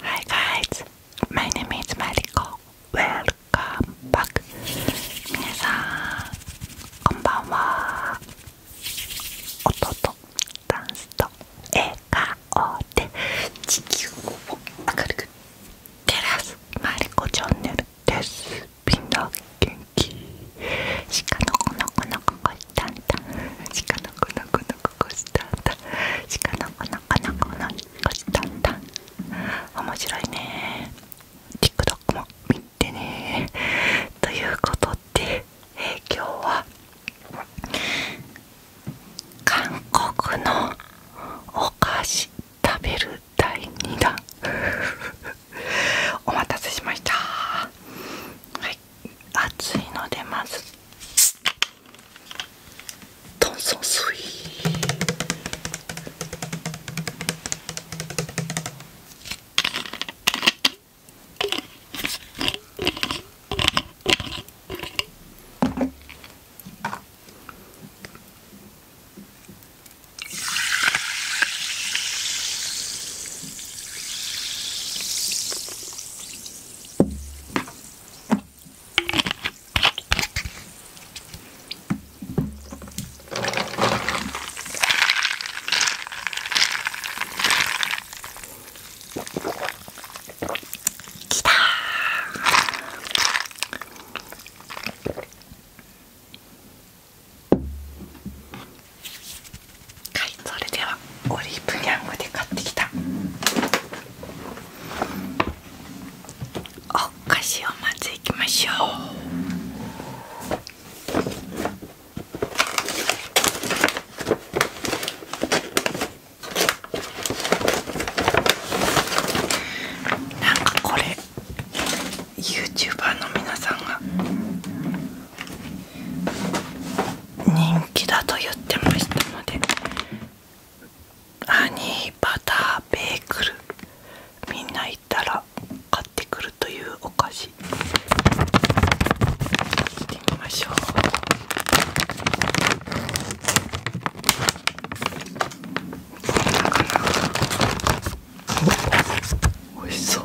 Hi guys, my name is Mariko. Welcome back. 皆さん、こんばんは。音とダンスと笑顔で地球を明るく照らすマリコチャンネルです。みんな元気。鹿のこのこのここいたんだ。鹿のこのここしだ鹿のおかのおなかこした面白いね TikTok も見てねということで、え今日は韓国のお菓子食べる第2弾お待たせしましたはい暑いのでまず炭酸水はい、それではオリーブニャングで買ってきたお菓子をまずいきましょうなんかこれ YouTuber の皆さんが人気だと言ってましたのでハニーバターベーグルみんな行ったら買ってくるというお菓子行ってみましょうどんおいしそう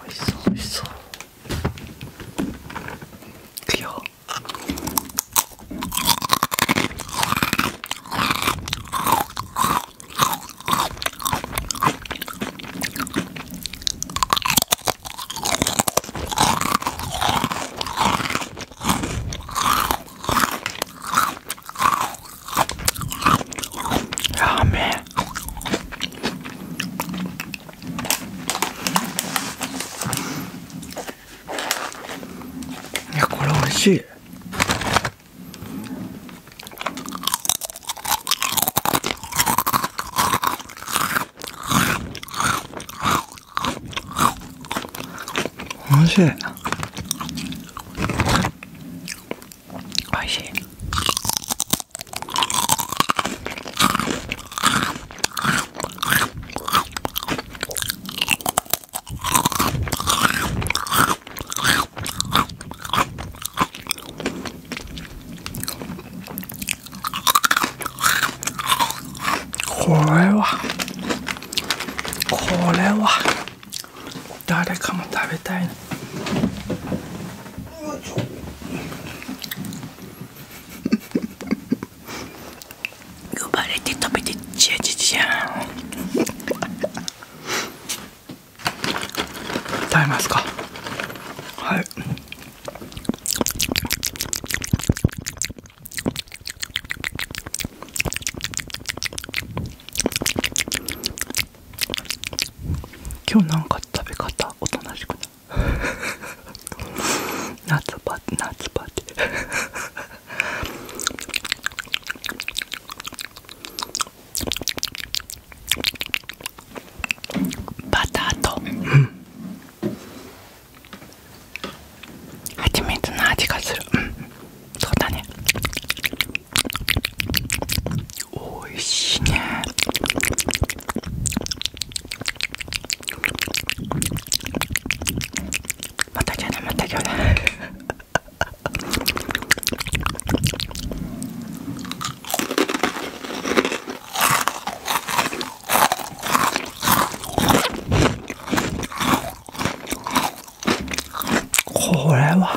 멋있어 뭐 멋있어 귀여워 야매 いやこれ美味しい美味しい美味しいこれはこれは誰かも食べたい呼 ばれて食べてちゃちちゃ食べますかはい今日なんか食べ方おとなしくない夏バテ夏バテバターとはちみつの味がするそうだねおいしいねまたゃね、またゃね。これは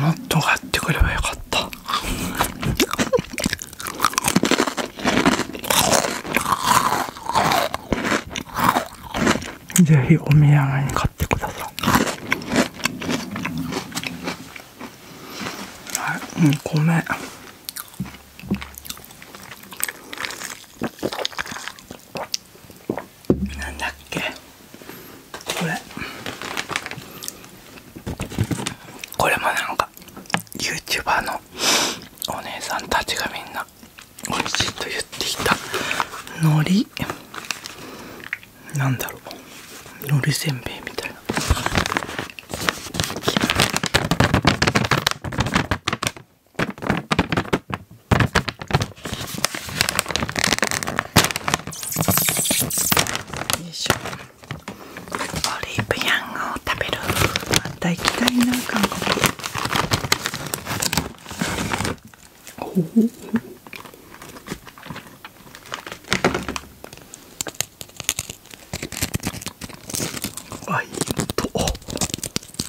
もっと買ってくればよかったぜひお土産に買ってくださいはい米なんだっけこれこれもなんか YouTuber のお姉さんたちがみんな美味しいと言ってきたのり。なんだろうのりせんべいみたいないしょオリーブヤングを食べるまた行きたいな韓国あいいと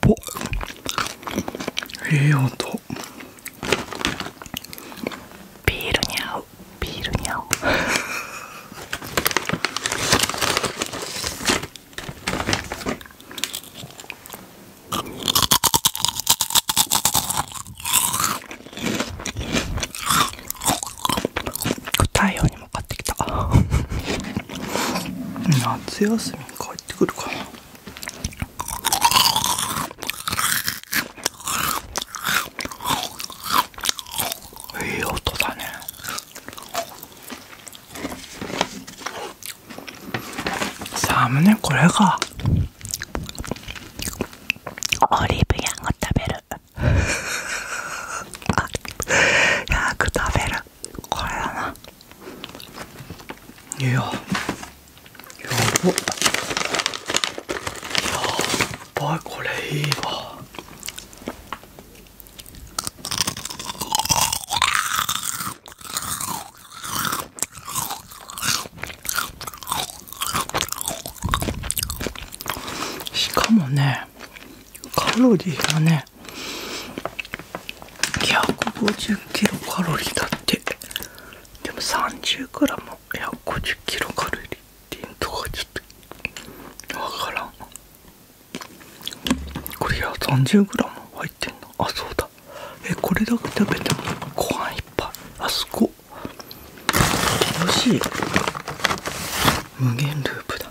ぽええ音ビールに合うビールに合う 太陽にもかってきた 夏休みか入ってくるかなええ音だねサムネこれかオリーブヤング食べる ヤング食べるこれだないややばやばいこれいいわしかもねカロリーがねね150キロカロリーだってでも30グラム150キロカロリーっていうとかちょっとわからんこれ130グラム入ってんのあそうだえこれだけ食べてもご飯いっぱいあそこ楽しい。無限ループだ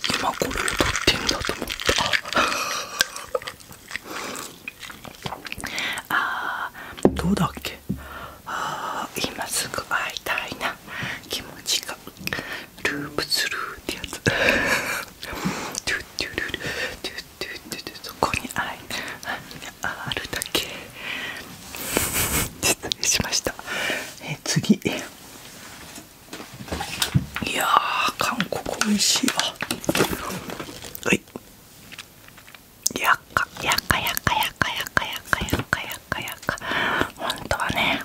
今これを撮ってんだと思ったああどうだっけああ、今すぐ会いたいな気持ちがループスルーってやつトゥトゥルルトゥトゥトゥそこに会いあるだけ失礼しましたえ次いやー韓国美味しいわはいやっかやっかやっかやっかやっかやっかやっかやっかやっか本当はね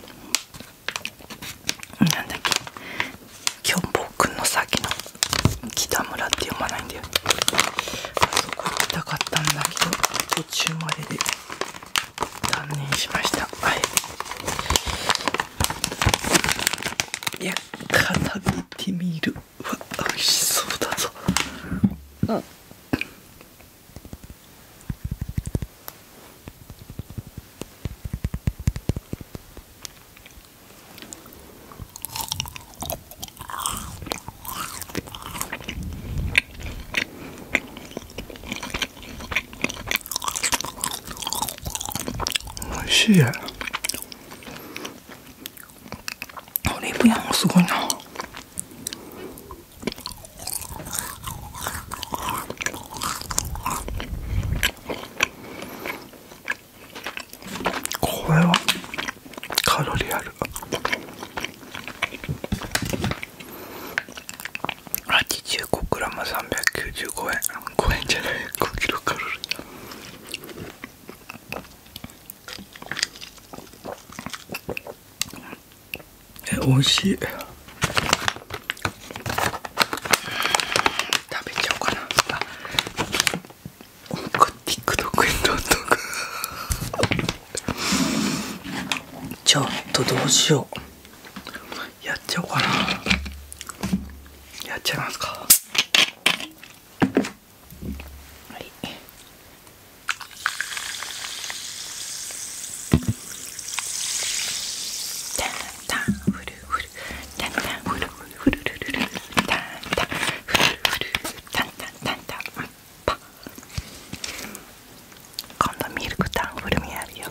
なんだっけキョンボくんのさっきの北村って読まないんだよあそこ行きたかったんだけど途中までで断念しましたはいいやからめてみるわ美味しそうだぞあおいしいオリーブヤンもすごいなこれはカロリアル。85g395 円5円じゃない 5kcal え美味しい食べちゃおうかなあ TikTok に撮っとくちょっとどうしようやっちゃおうかなやっちゃいますかはいタンタンフルフルタンタンフルフルフルフルフルタンタンフルタンタンタン今度ミルクタンフルミあるよ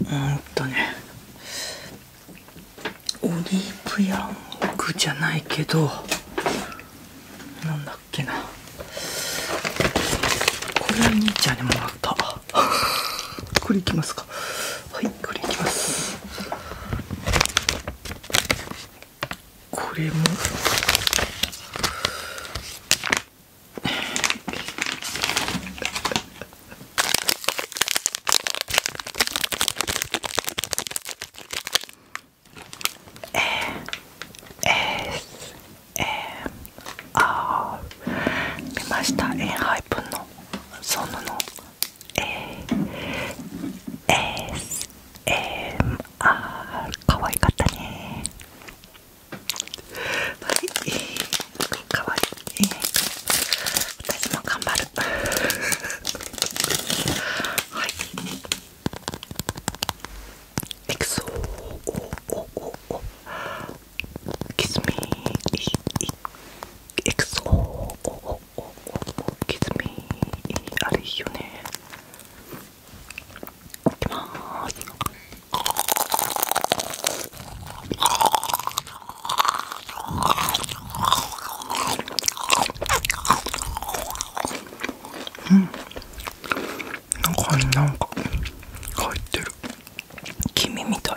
うんとねオリーブヤンクじゃないけどなんだっけなこれは兄ちゃんにもらったこれいきますかはいこれいきますこれもえええああ見ましたエンハイプンのそンヌの ASMR かわいかったねはいかわいい私も頑張るはいエクソオーオー。キスミーエクソーオー。おおおきずみあれいいよねいきまーすうん中になんか入ってる君みたい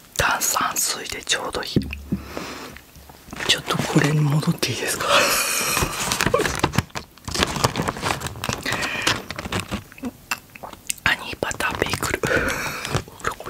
炭酸水でちょうどいいちょっとこれに戻っていいですか アニーバターベイクル これお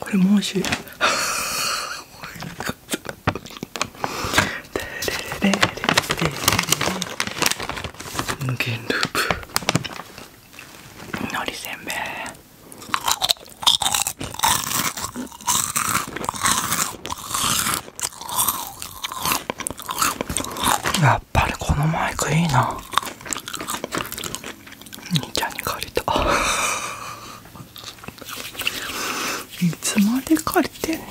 これもう味しい 無ループのりせんべいやっぱりこのマイクいいな兄ちゃんに借りたいつまで借りてんねん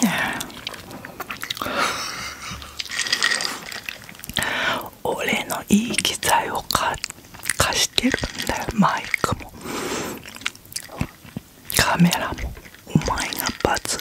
俺のいい機材を貸してるんだよマイクもカメラもお前がバ罰